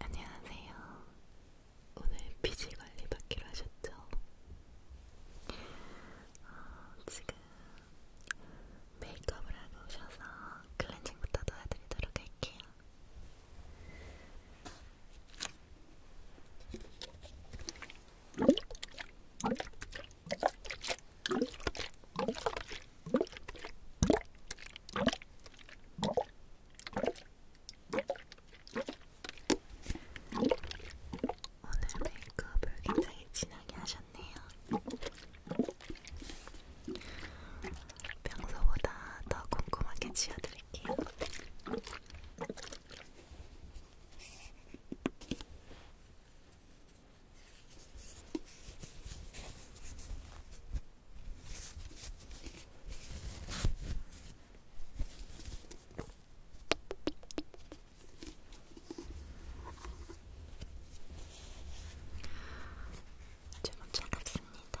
안녕하세요. 오늘 피지 관리 받기로 하셨죠? 어, 지금 메이크업을 하고 오셔서 클렌징부터 도와드리도록 할게요. 어, 오늘 메이크업을 굉장히 진하게 하셨네요. 평소보다 더 꼼꼼하게 지어드릴게요. 제가 차갑습니다.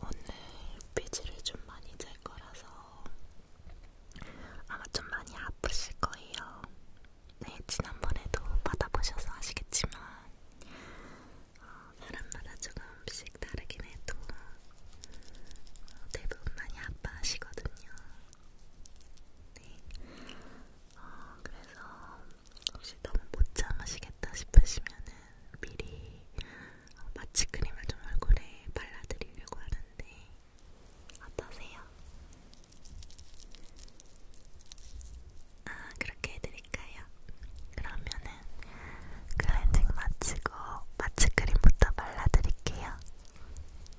오늘 삐지를 좀 많이 잴 거라서 아마 좀 많이 아프실 거예요. 네, 지난번에도 받아보셔서 아시겠지만 어, 사람마다 조금씩 다르긴 해도 어, 대부분 많이 아파하시거든요. 네. 어, 그래서 혹시 너무 못 참으시겠다 싶으시면은 미리 어, 마취크림을 좀 얼굴에 발라드리려고 하는데 어떠세요? 아, 그렇게 해드릴까요? 그러면은 클렌징 마치고 마취크림부터 발라드릴게요. 음.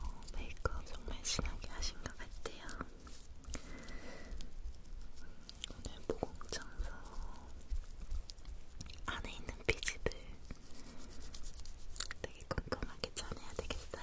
어, 메이크업 정말 신하게 하신 것 같아요. 오늘 모공청소 안에 있는 피지들 되게 꼼꼼하게 전해야 되겠어요.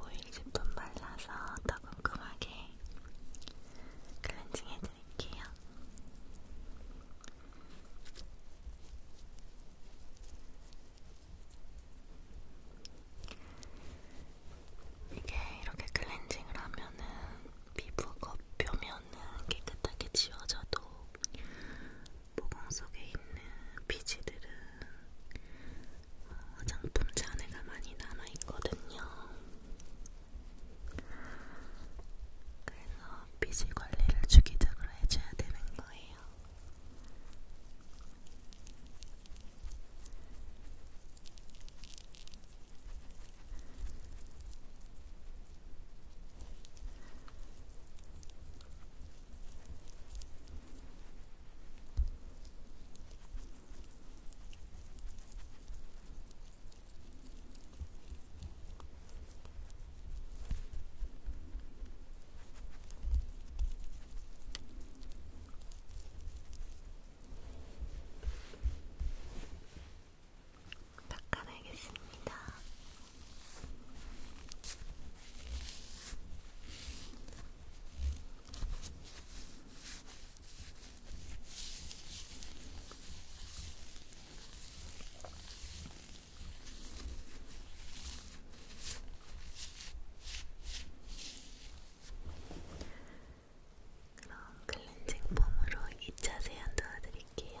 오일 제품 발라서 더 궁금하게 클렌징 해드릴게요. 이게 이렇게 클렌징을 하면은 피부 겉표면은 깨끗하게 지워져도 모공 속에 있는 피지들은 화장품 어, 잔해가 많이 남아있거든요. 그래서 피지 관리를 주기적으로 해줘야 되는 거예요. 닦아내겠습니다. 그럼 클렌징 폼으로 2차 세안 도와드릴게요.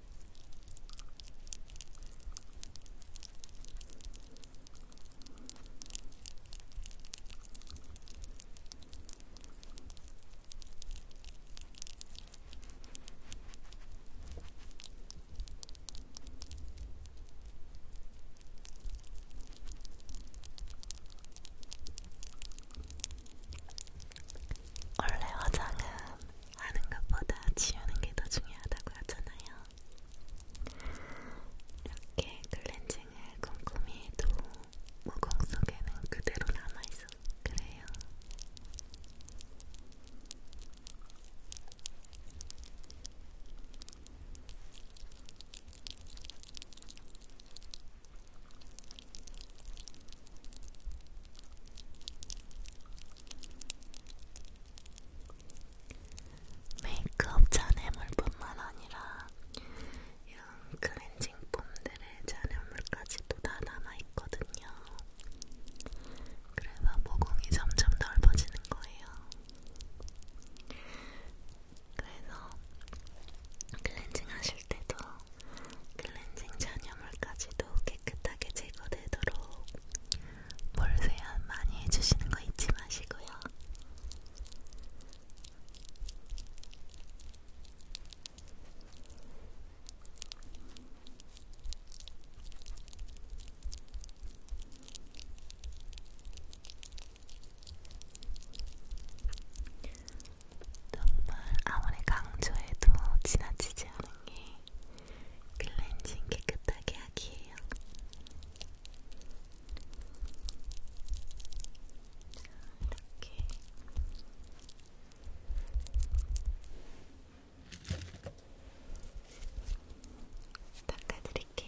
원래 화장은 하는 것보다 지우는 게 더 중요하다고 하잖아요. 이렇게 클렌징을 꼼꼼히 해도 모공 속에는 그대로 남아있어. 그래요. 메이크업 잔해물뿐만 아니라 이런 클렌징 폼들의 잔해물까지도 다 남아있거든요. 그래서 모공이 점점 넓어지는 거예요. 그래서 클렌징 하실 때도 클렌징 그 잔여물까지도 깨끗하게 제거되도록 볼 세안 많이 해주시는 거 잊지 마시고요. 정말 아무리 강조해도 지나치지 않은 게 클렌징 깨끗하게 하기예요. 이렇게 닦아드릴게요.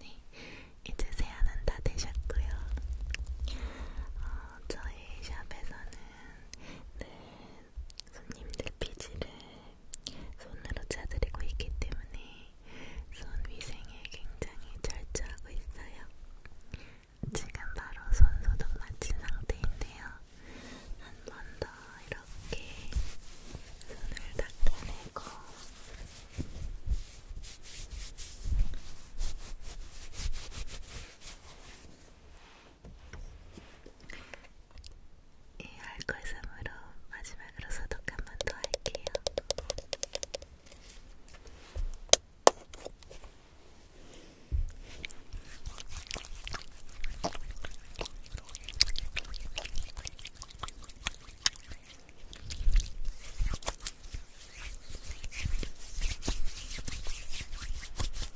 네, 이제 세안은 다 되셨고요. 어, 저희 샵에서는 늘 손님들 피지를 손으로 짜드리고 있기 때문에 손 위생에 굉장히 철저하고 있어요. 지금 바로 손 소독 마친 상태인데요. 한 번 더 이렇게 손을 닦아내고 이 알콜샘으로 마지막으로 소독 한번더 할게요.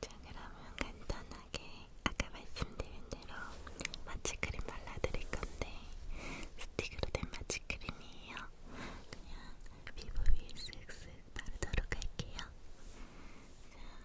자, 그러면 간단하게 아까 말씀드린 대로 마취크림 발라드릴 건데 스틱으로 된 마취크림이에요. 그냥 피부 위에 쓱쓱 바르도록 할게요. 자,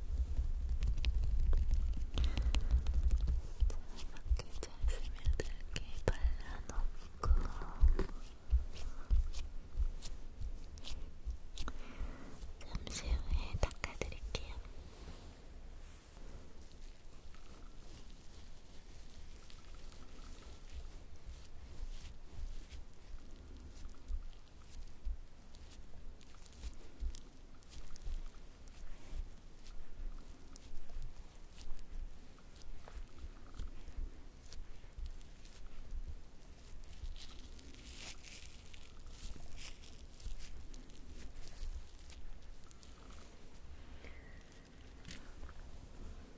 이렇게 잘 스며들게 발라놓고 잠시 후에 닦아드릴게요. 이렇게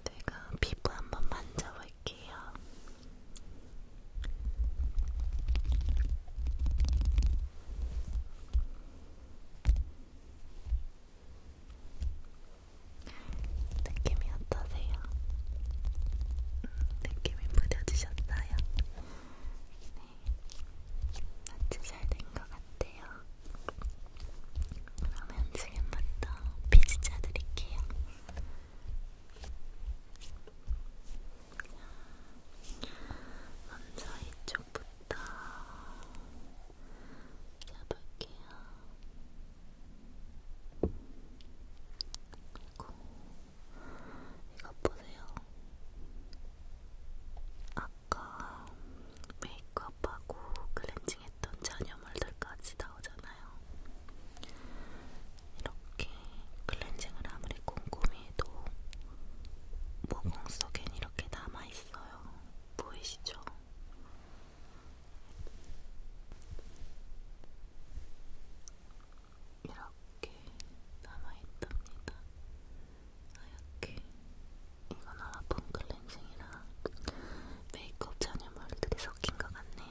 제가 피부 한번 만져볼게요. 느낌이 어떠세요? 음, 느낌이 무뎌지셨어요? 네, 마치 잘된 것 같아요. 그러면 지금부터 피지 짜드릴게요. 먼저 이쪽부터 잡을게요. 그리고 이거 보세요. 아까 메이크업하고 클렌징했던 잔여물들까지 나오잖아요. 이렇게 클렌징을 아무리 꼼꼼히 해도 모공 속엔 이렇게 남아있어요. 보이시죠? 이렇게 남아있답니다. 하얗게. 이건 아라폰 클렌징이라 메이크업 잔여물들이 섞인 것 같네요.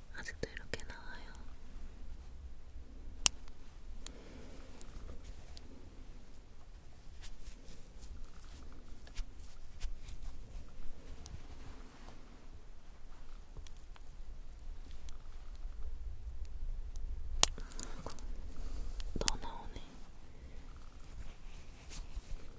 아직도 이렇게 나와요. 아, 더 나오네.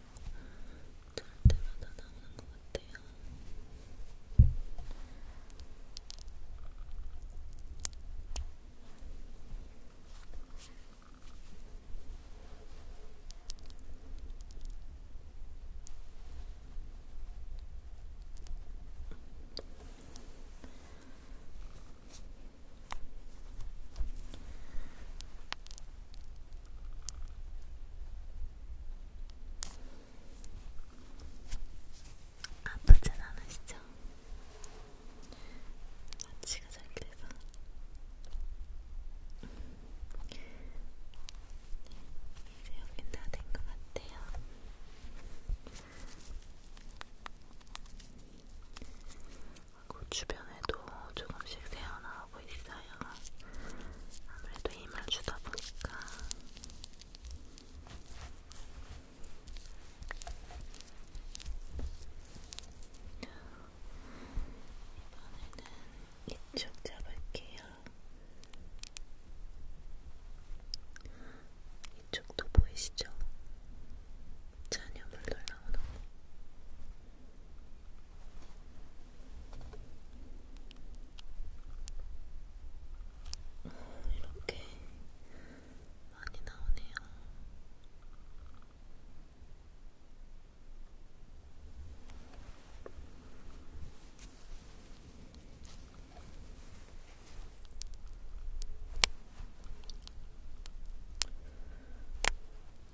저럴 때마다 나오는 것 같아요. 아프진 않으시죠? 마취가 잘 돼서 이제 여긴 다된것 같아요. 그 주변에도 조금씩 새어나오고 하고 있어요. 아무래도 힘을 주다 보니까. 이번에는 이쪽 잡을게요. 이쪽도 보이시죠? 잔여물 놀라오는 거. 어, 이렇게 많이 나오네요.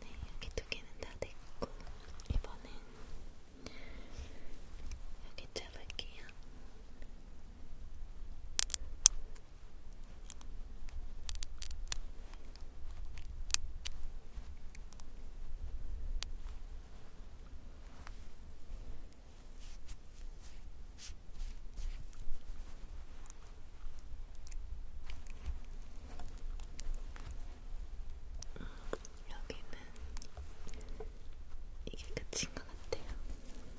네, 여기 두 개는 다 됐고, 이번엔 여기 잡을게요. 여기는 이게 끝인 것 같아요. 이제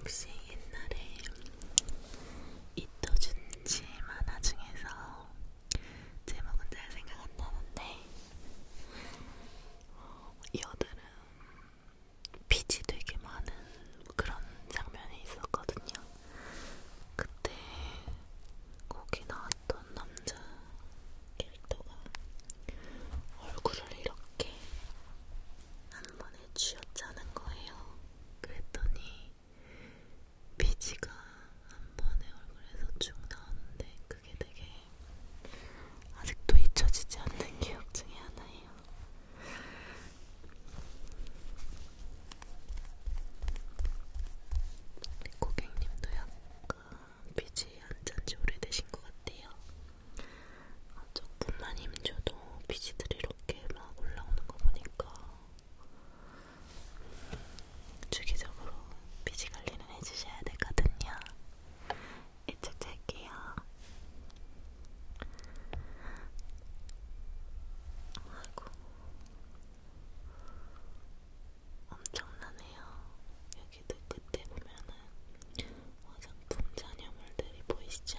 혹시 옛날에 이토준지 만화 중에서 제목은 잘 생각 안 나는데 여드름 피지 되게 많은 그런 장면이 있었거든요. 그때 거기 나왔던 남자 캐릭터가 얼굴을 이렇게 한 번에 쥐었자는 거예요. 그랬더니 비지가 한 번에 얼굴에서 쭉 나오는데 그게 되게 아직도 잊혀지지 않는 기억 중에 하나예요. 고객님도 약간 피지 안 잔지 오래되신 것 같아요. 아, 조금만 힘줘도 피지들이 이렇게 막 올라오는 거 보니까 주기적으로 피지 관리는 해주셔야 되거든요. 이쪽 잘게요. 아이고 엄청나네요. 여기도 끝에 보면은 화장품 잔여물들이 보이시죠?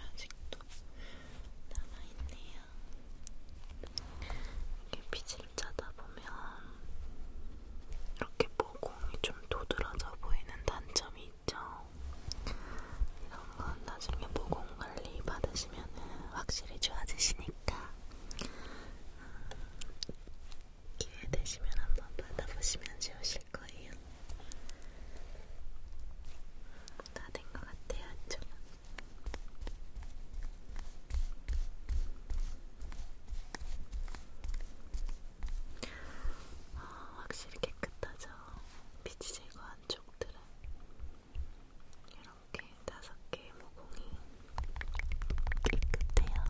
아직도 남아있네요. 이게 빛을 짜다 보면 이렇게 모공이 좀 도드라져 보이는 단점이 있죠. 이런 건 나중에 모공 관리 받으시면 확실히 좋아지시니까 음, 기회 되시면 한번 받아보시면 좋으실 거예요. 다된것 같아요, 안쪽은. 아, 확실히 깨끗하죠? 빛이 제거 안쪽들은. 이렇게 다섯 개의 모공이 깨끗해요.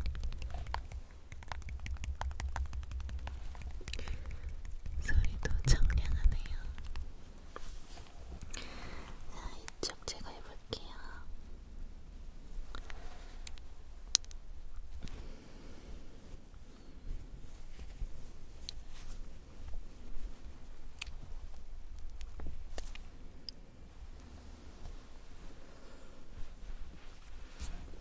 소리도 청량하네요. 자, 이쪽 제가 해볼게요.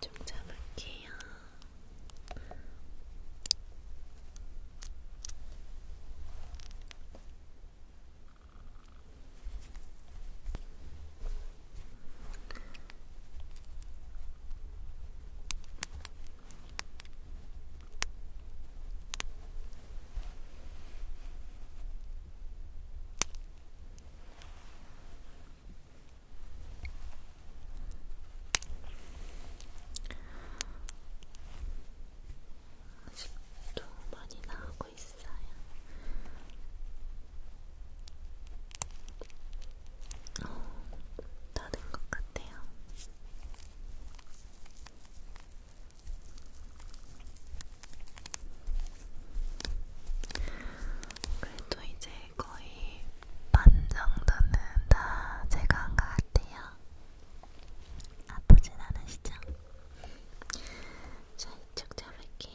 좀 잡을게요. 자, 10도 많이 나오고 있어요. 있어요. 어, 다른 것 같아요. 그래도 이제 거의 반 정도는 다 제거한 것 같아요. 아프진 않으시죠? 잘쭉 잡을게요.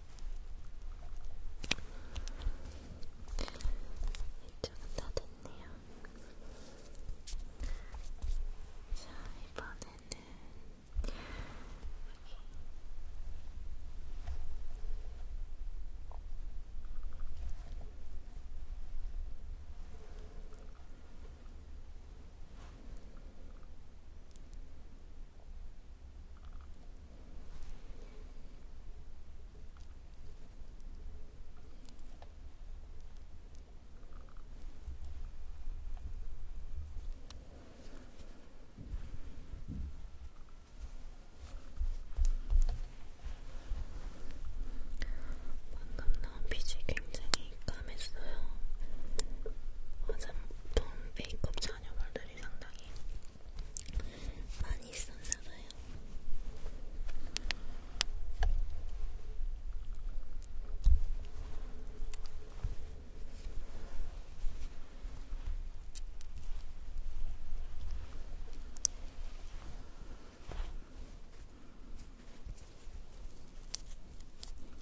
이쪽은 다 됐네요. 자, 이번에는 자, 방금 나온 빛이 굉장히 까맸어요. 화장품 메이크업 전혀 바르지 것들이 상당히 많이 있었나봐요.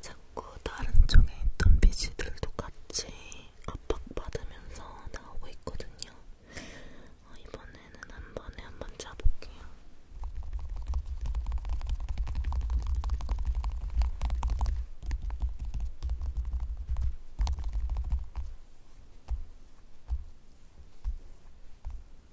자꾸 다른 쪽에 있던 비지들도 같이 압박받으면서 나오고 있거든요. 어, 이번에는 한 번에 한번 짜볼게요.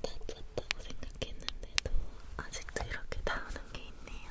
다쳤다고 생각했는데도 아직도 이렇게 나오는 게 있네요.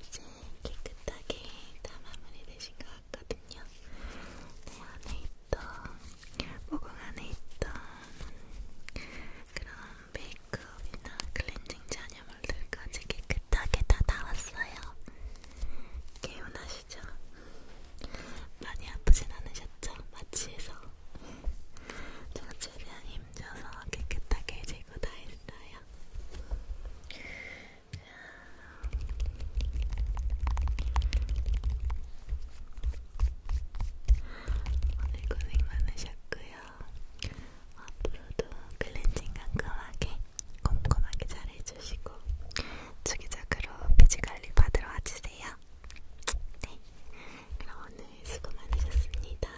이제 깨끗하게 다 마무리되신 것 나왔거든요. 내 네, 안에 있던, 모공 안에 있던 그런 메이크업이나 클렌징 잔여물들까지 깨끗하게 다 나왔어요. 개운하시죠? 많이 아프진 않으셨죠? 마취해서 제가 최대한 힘줘서 깨끗하게 해주고 다 했어요. 오늘 고생 많으셨고요. 앞으로도 클렌징 깔끔하게 꼼꼼하게 잘 해주시고 주기적으로 피지 관리 받으러 와주세요. 네, 그럼 오늘 수고 많으셨습니다.